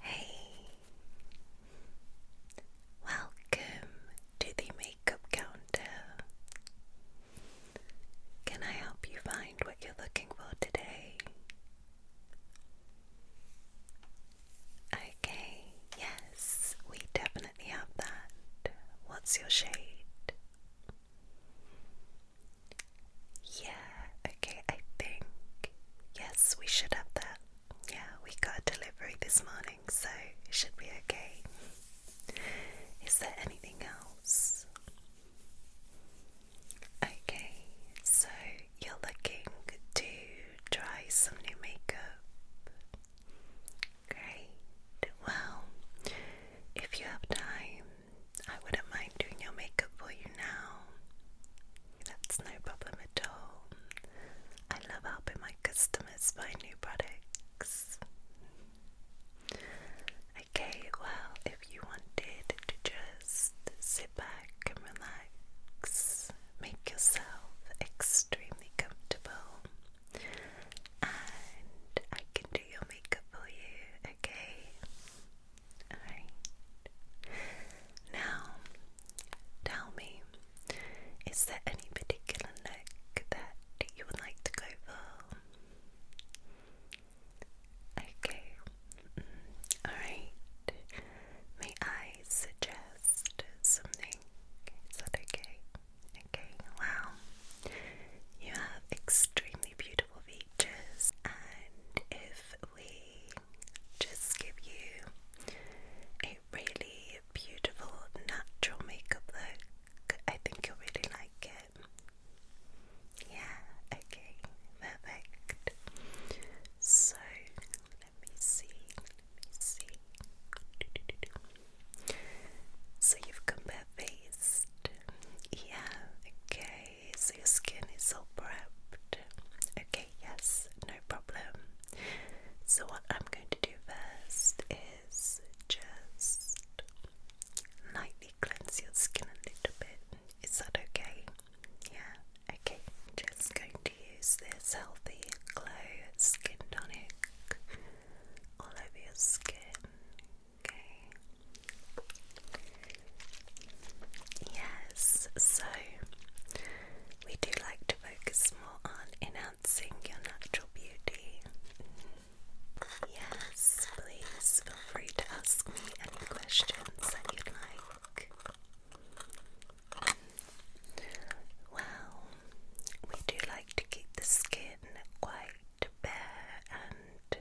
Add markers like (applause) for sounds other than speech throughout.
Hey, welcome to the makeup counter. Can I help you find what you're looking for today? Okay, yes, we definitely have that. What's your shade? Yeah, okay, I think. Yes, we should have that. Yeah, we got a delivery this morning, so should be okay. Is there anything else? Okay, so you're looking to try some new makeup. Great. Well, if you have time, I wouldn't mind doing your makeup for you now. That's no problem at all. I love helping my customers find new products. Okay, well, if you wanted to just sit back and relax, make yourself extremely comfortable, and I can do your makeup for you, okay? Now, tell me, is there any particular look that you would like to go for? Okay. Mm, alright. May I suggest something? Is that okay? Okay, wow. You have extremely beautiful features, and if we just give you a really beautiful natural makeup look. I think you'll really like it. Yeah, okay, perfect. So let me see, let me see. So you've come bare faced. Yeah, okay. So your skin is all prepped. Okay, yes, no problem. So, what I'm going to do first is just lightly cleanse your skin a little bit. Is that okay? Yeah, okay. Just going to use this healthy glow skin tonic all over your skin. Okay, Yes, so we do like to focus more on enhancing your natural beauty. Yes, please feel free to ask me any questions that you'd like. Well, we do like to keep the skin quite bare and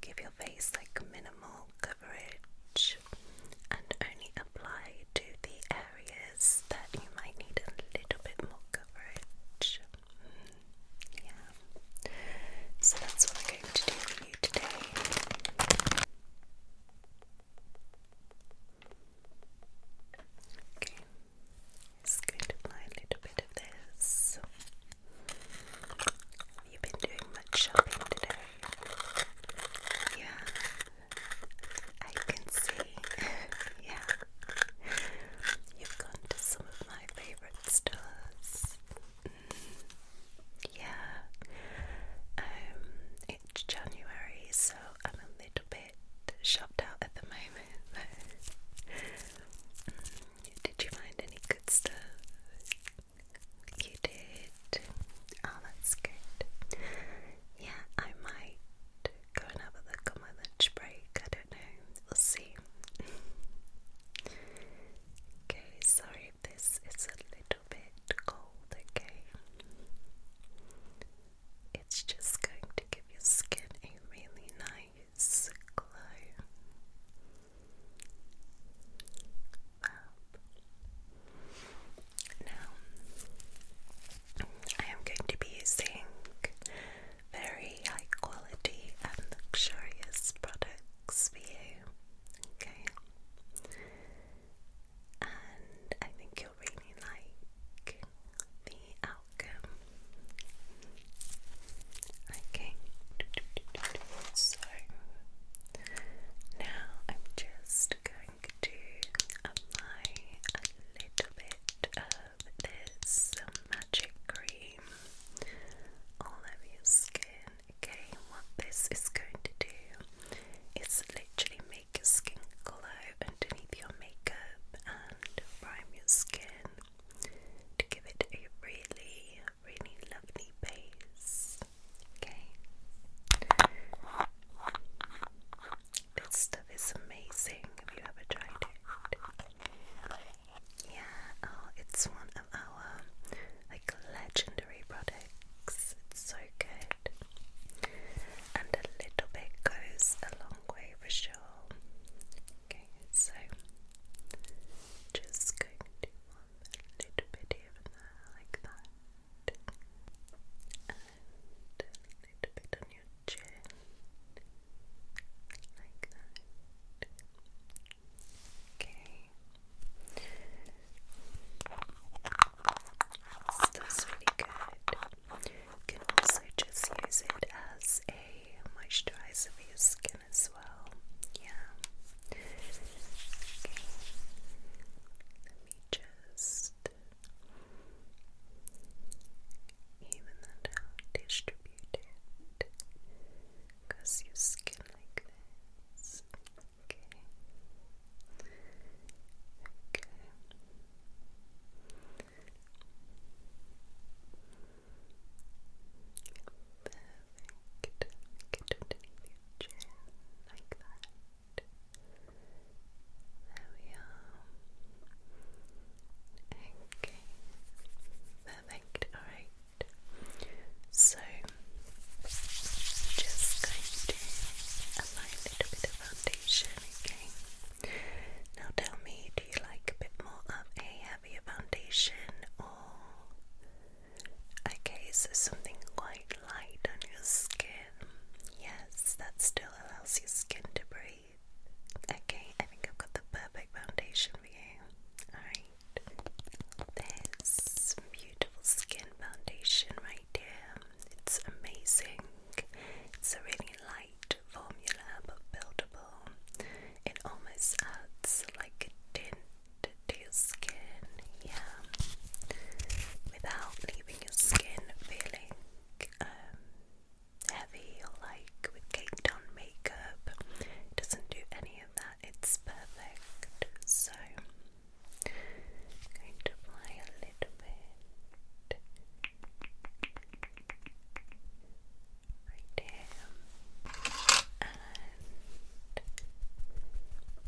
give your face like minimal coverage and only apply to the areas that you might need a little bit more coverage. Mm-hmm. yeah. So that's what I'm going to do for you today. Okay, just going to apply a little bit of this. Have you been doing much shopping today? Yeah, I can see. (laughs) yeah, you've gone to some of my favorite stores. Mm. Yeah, um, it's January, so I'm a little bit shopped out at the moment. (laughs) Mm, did you find any good stuff? You did. Oh, that's good. Yeah, I might go and have a look on my lunch break. I don't know. We'll see. okay, sorry if this is a little bit cold, okay? It's just going to give your skin a really nice glow up. Now, I am going to be using very high quality and luxurious products for you, okay? And I think you'll really like the outcome. Okay, so now I'm just going to apply a little bit of this magic cream all over your skin. Okay, what this is going to do is literally make your skin glow underneath your makeup and prime your skin to give it a really really lovely base. Okay. This stuff is amazing. Have you ever tried it? Yeah, oh, it's one of our like legendary products. It's so good. And a little bit goes a long way for sure. Okay, so just going to a little bit here like that, and a little bit on your chin, like that. Okay. that's really good. You can also just use it as a moisturizer for your skin as well. Yeah. Let me just even that out, distribute it across your skin like this. Okay. Okay. Perfect. Okay. Perfect. Alright. So, just going to apply a little bit of foundation, okay? Now tell me, do you like a bit more of a heavier foundation or Okay, so something quite light on your skin. Yes, that still allows your skin to breathe. Okay, I think I've got the perfect foundation for you. Alright, this beautiful skin foundation right here. It's amazing. It's a really light formula but buildable. It almost adds like a tint to your skin, yeah, without leaving your skin feeling um, heavy or like with caked on makeup. It doesn't do any of that, it's perfect. So, going to apply a little bit right here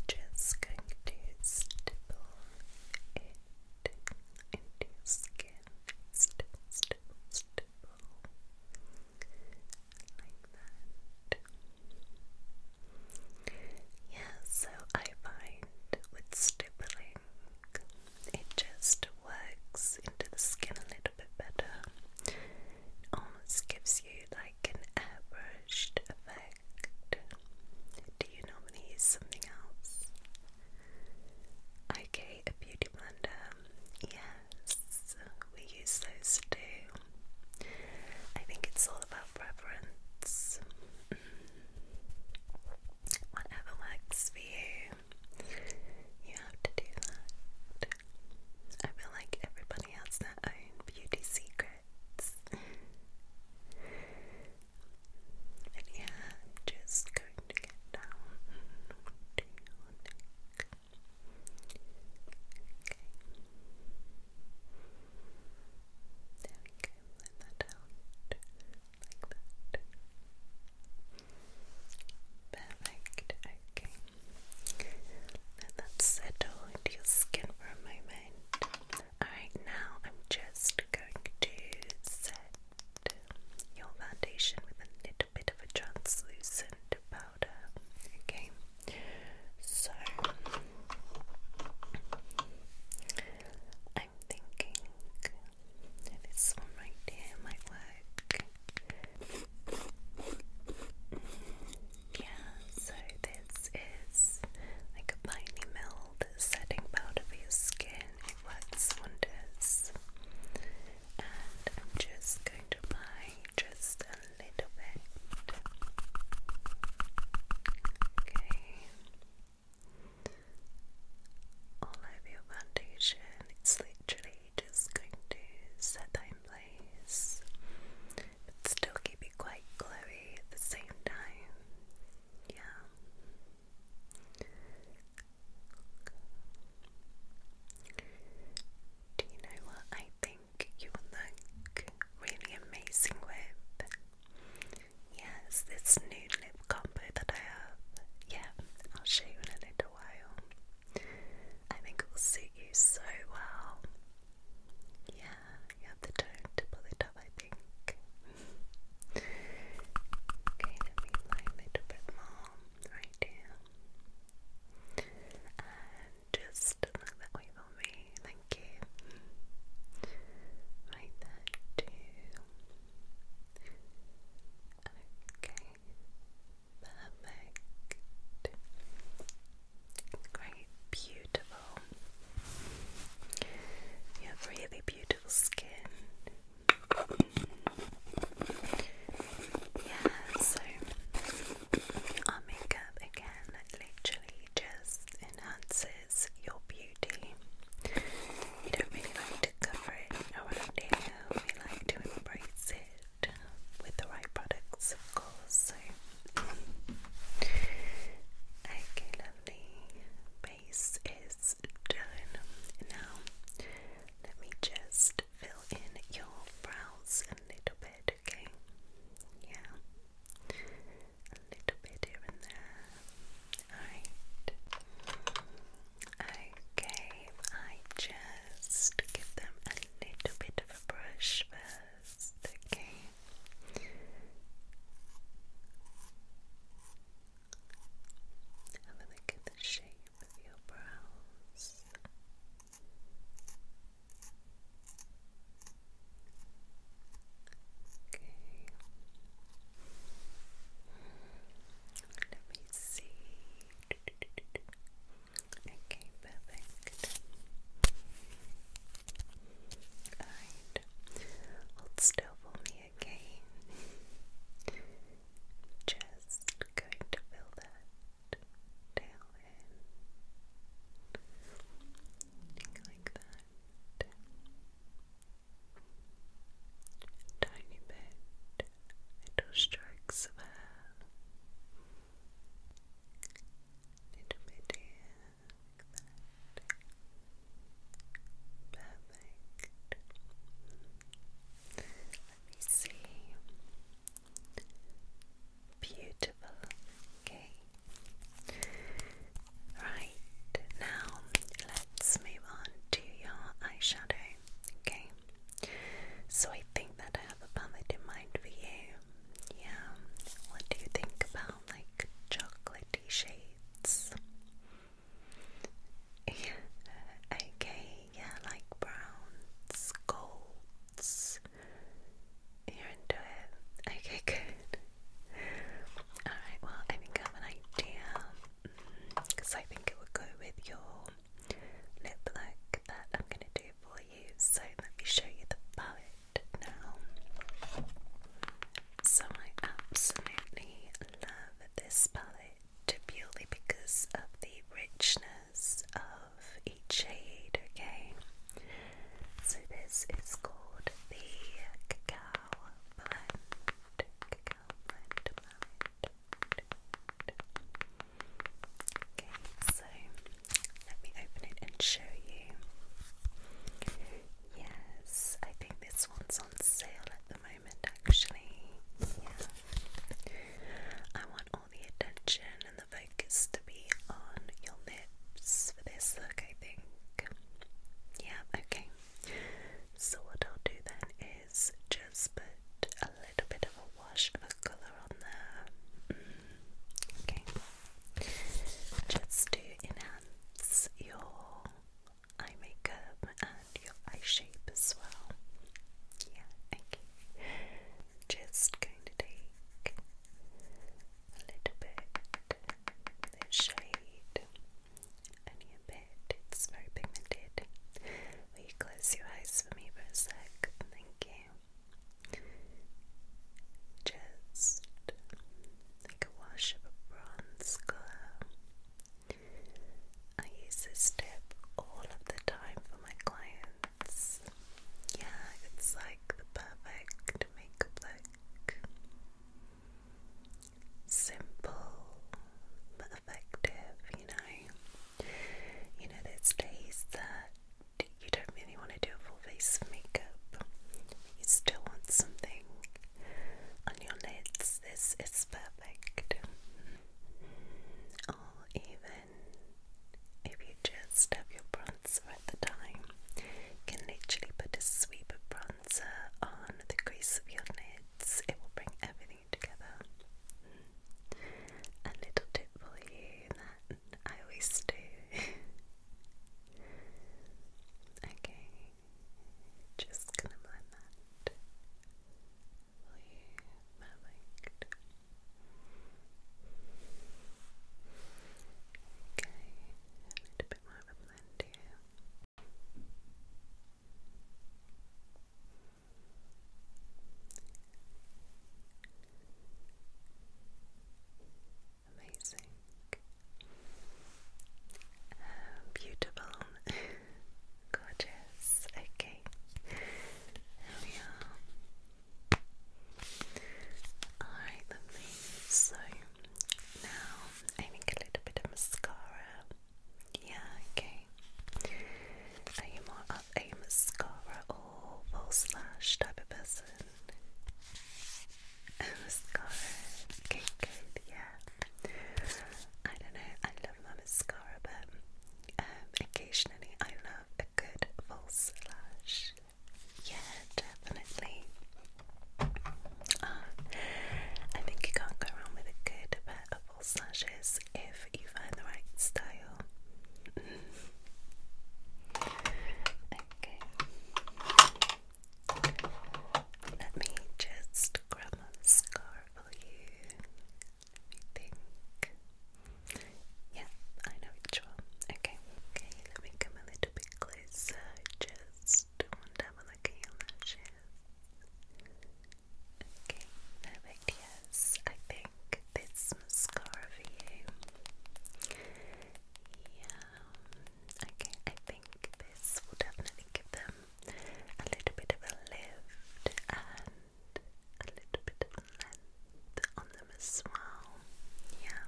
just going to stipple it into your skin. Stipple, stipple, stipple. Like that. Yeah, so I find with stippling, it just works into the skin a little bit better. It almost gives you that an airbrushed effect? Do you normally use something else? Okay, a beauty blender. Yes, we use those too. I think it's all about preference. Mm. Whatever works for you, you have to do that. I feel like everybody has their own beauty secret words. But yeah, just going to get down to Okay. There that out like that. Perfect, okay. Let that settle into your skin for a moment. Alright, now I'm just going to set your foundation with a little bit of a translucent powder. Okay, so I'm thinking this one right here might work. Yeah, so this is like a piney mild setting powder for your skin. It works wonders. And I'm just going to apply just a little bit. Okay. All over your foundation. It's literally just going to set that in but still keep it quite glowy at the same time. Yeah. Do you know what I think you look really amazing with? Yes, this new lip combo that I have. Yeah, I'll show you in a little while. I think it will suit you so well. Yeah you have to turn to pull I think. okay, let me line it a bit more right here. And just look that way for me, thank you. Right there Okay, perfect. Great, beautiful. You have really beautiful skin. Yeah, so our makeup again literally just enhances your beauty. We don't really like to cover it around here, we like to embrace it with the right products, so, okay, lovely. Base is done. Now, let me just fill in your brows a little bit, okay? Yeah, a little bit here and there. Alright. Okay, I just give them a little bit of a brush okay? Have a look at the shape of your brows. Okay. Let me see. Okay, perfect. Alright. Hold still for me, again. Just going to fill that tail in. Like that. tiny bit. Little strokes of hair. Little bit here. Perfect. Let me see. Beautiful. Okay. Right, now let's move on to your eyeshadow. Okay. So I think that I have a palette in mind for you. Yeah. What do you think about like chocolatey shades. (laughs) okay, yeah, like browns, golds. You're into it. Okay, (laughs) good. Alright, well, I think I have an idea because mm, I think it would go with your lip look that I'm going to do for you. So, let me show you the palette it So I absolutely love this palette purely because of the richness of each shade, okay? So this is called the Cacao Blend. Okay, so let me open it and show you. Yes, I think this one's on sale at the moment actually. Yeah. I want all the attention and the focus to be on your lips for this look, I think. Yeah, okay. So, what I'll do then is just put a little bit of a wash of a colour on there. Mm, okay just to enhance your eye makeup and your eye shape as well. Yeah, okay. Just going to take a little bit of shade, only a bit, it's very pigmented. Will you close your eyes for me for a sec? Thank you just like a wash of a bronze colour. I use this tip all of the time for my clients. Yeah, it's like the perfect makeup look. Simple but effective, you know. You know, there's days that you don't really want to do a full face of makeup, you still want something on your lids, this is perfect. Or even if you just have your bronzer at the time, can literally put a sweep of bronzer on the crease of your lids, it will bring everything together. A little tip for you I always do. (laughs) okay, just gonna blend that. Perfect. Okay, a little bit more of a blend here. Amazing. beautiful. (laughs) Gorgeous. Okay. There we are. Alright, So, now I need a little bit of mascara. Yeah, okay. Are you more of a mascara or full slash type of person? mascara, yeah. I don't know, I love mascara, but um, occasionally I love a good false lash. Yeah, definitely. Ah, I think you can't go wrong with a good pair of false lashes if you find the right style. (laughs) Okay. Let me just grab a scar you. think. Yeah, I know which one. Okay, okay, let me come a little bit closer. Just want to have a look at your lashes. Okay, perfect. Yes, I think this mascara for you. Yeah, um, okay, I think this will definitely give them a little bit of a lift and a little bit of length on them as well. Yeah,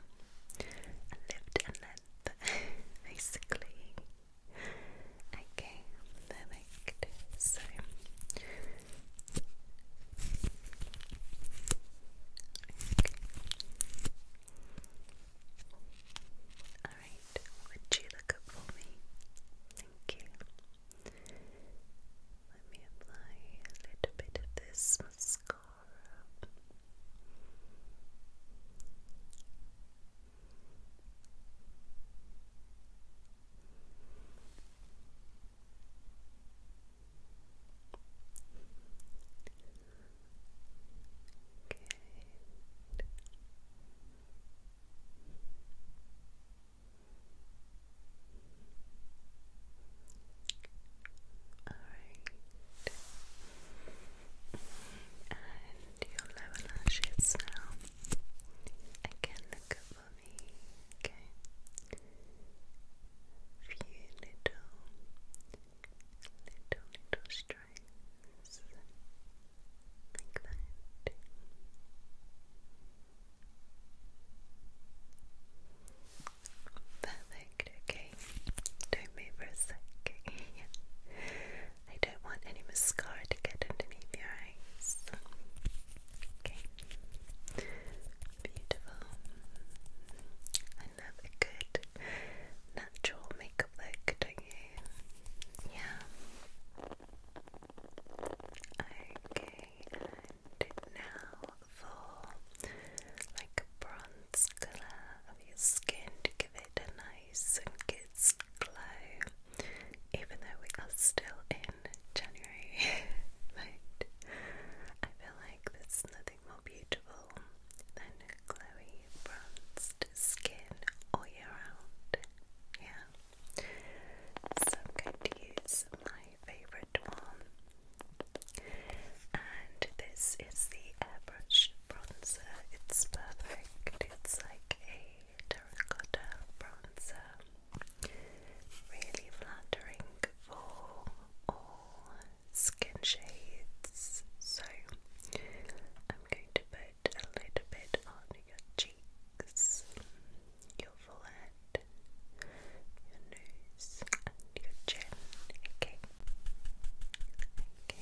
a lift and length, (laughs) basically. Okay, perfect. So. Alright, would you look up for me? Thank you. Let me apply a little bit of this mascara. All right. And your lower lashes now. Again, look up for me. Okay. Few little little, little stripes like that. Perfect, okay. Don't for a sec. (laughs) I don't want any mascara to get underneath your eyes. Okay. Beautiful have a good natural makeup look, don't you? Yeah. Okay, now for like a bronze colour of your skin to give it a nice and good glow. Even though we are still in January, (laughs) I feel like there's nothing more beautiful than glowy bronzed skin all year round. Yeah. So I'm going to use my favourite one. And this is the airbrush bronzer. It's perfect. It's like a terracotta bronzer. Really flattering for all skin shades. So I'm going to put a little bit on your cheeks, your forehead, your nose, your chin. Okay. Okay.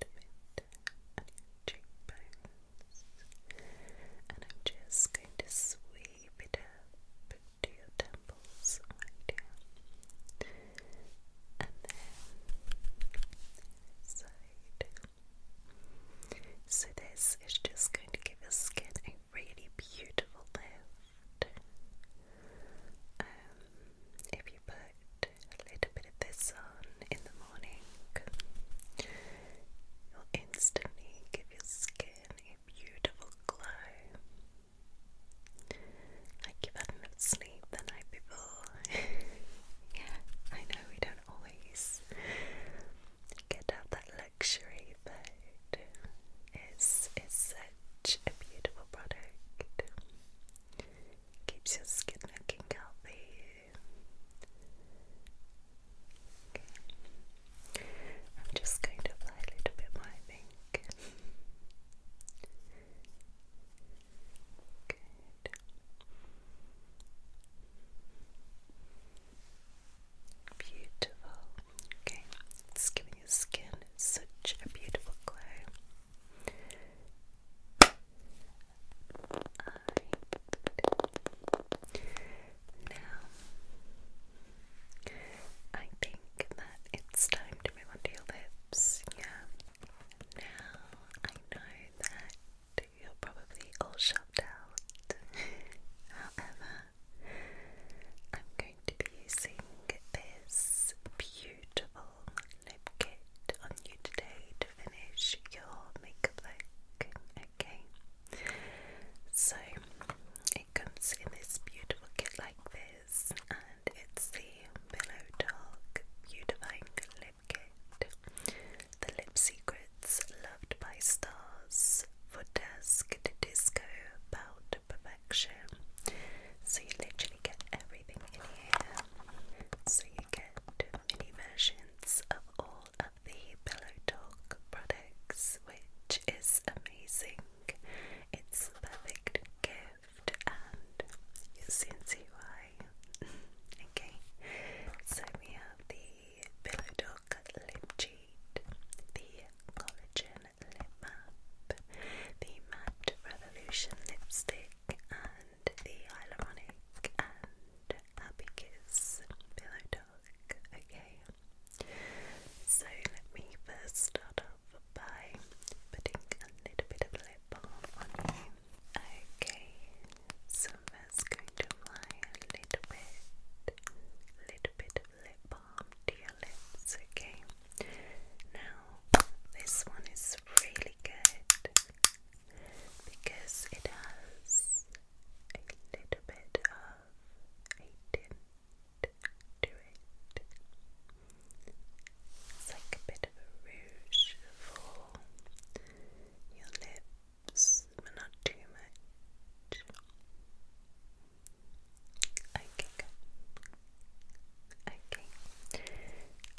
A bit on your cheekbones, and I'm just going to sweep it up to your temples, And then side. So this is just going to give your skin a really beautiful lift. Um, if you put a little bit of this on in the morning, you'll instantly give your skin beautiful glow. Like you've had enough sleep the night before. (laughs) yeah, I know we don't always get to have that luxury, but it's, it's such a beautiful product. Keeps your skin looking healthy. I'm just going to apply a little bit more, I (laughs) Good. Beautiful. Okay, it's giving your skin such a beautiful glow. Alright. Now I think that it's time to move on to your lips. Yeah. Now I know that you're probably all shopped out. However, I'm going to be using this beautiful lip kit on you today to finish your makeup look. Okay. So it comes in this beautiful kit like this, and it's the Pillow Talk Beautifying Lip Kit. The Lip Secrets Loved by Stars for Dusk to Disco about Perfection. So you literally get everything in here. So you get mini versions of all of the Pillow Talk products which is amazing. It's the perfect gift, and you'll see why. okay, so we have the Pillow Dog Lip Cheat, the Collagen Lip Map, the Matte Revolution Lipstick, and the Hyaluronic and Happy Kiss Pillow Dog. Okay, so let me first start off by putting a little bit of lip balm on you. Okay, so I'm first going to apply a little bit, little bit of lip balm to your lips, okay? Now, this one is really good because it has a little bit of a tint to it. It's like a bit of a rouge for your lips, but not too much. Okay, Okay,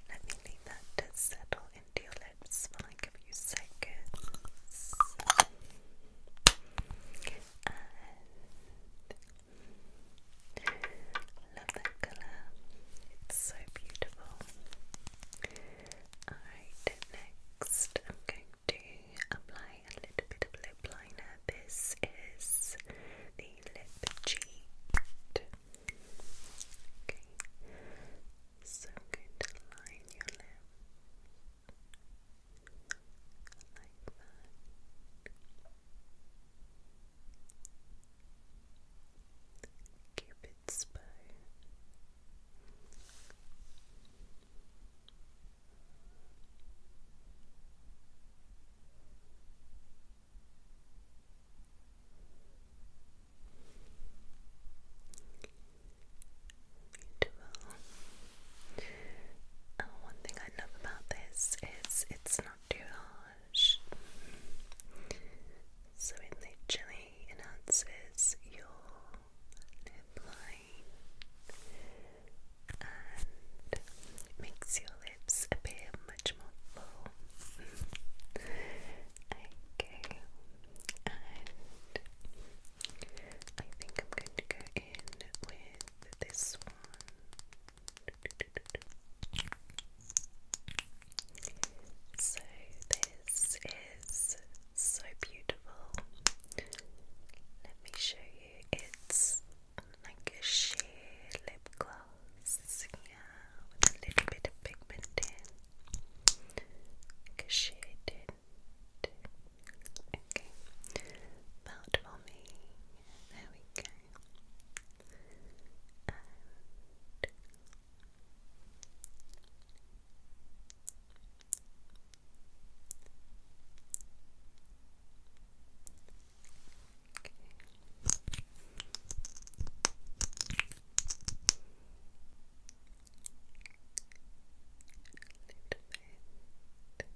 let me leave that to settle into your lips for like a few seconds love that colour. It's so beautiful. Alright, next I'm going to apply a little bit of lip liner. This is the lip cheat. Okay. So going to line your lips like that. Cupid's bow. Beautiful. Oh, one thing I love about this is it's not too harsh. So it literally enhances your lip line and makes your lips appear much more full. (laughs) okay, and I think I'm going to go in with this one. So, this is so beautiful. Let me show you. It's like a sheer lip gloss, yeah, with a little bit of pigment in. a shade in two. Okay. Melt for me. There we go. Okay bit.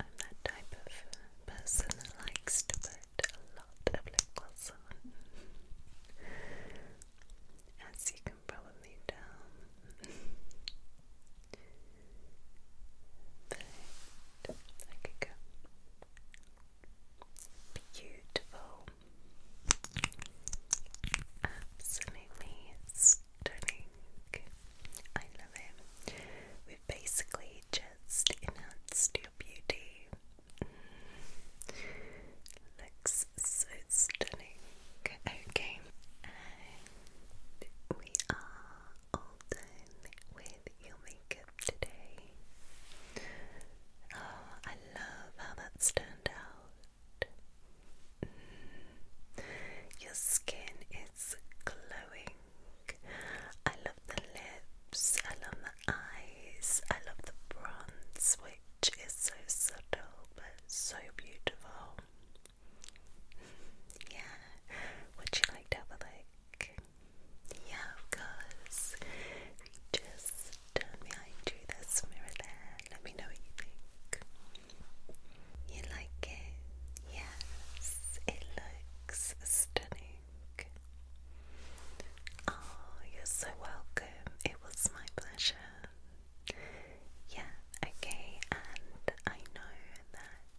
I'm that type of person that likes to put a lot of lip gloss on. As you can probably tell. but I go. Beautiful. Absolutely tonic. I love it. We've basically just enhanced your beauty. Mm. Looks so stunning. Okay, we are all done with your makeup today. Oh, I love how that's turned out. Mm. Your skin is glowing. I love the lips, I love the eyes, I love the bronze, which is so subtle but so beautiful. (laughs) Yeah, would you like to have Yeah, of course. just turn behind you, there's Let me know what you think. You like it? Yes, it looks stunning. Oh, you're so welcome. It was my pleasure. Yeah, okay, and I know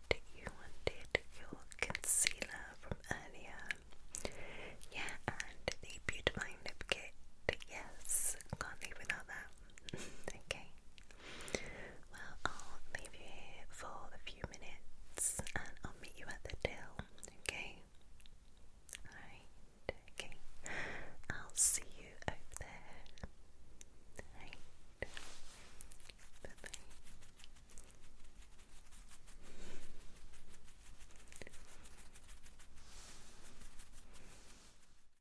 that you wanted your concealer from earlier. Yeah, and the Beautifying Lip Kit. Yes, can't leave without that. (laughs) okay. Well, I'll leave you here for a few minutes and I'll meet you at the till, okay? Alright, okay. I'll see you over there. Alright. Bye bye.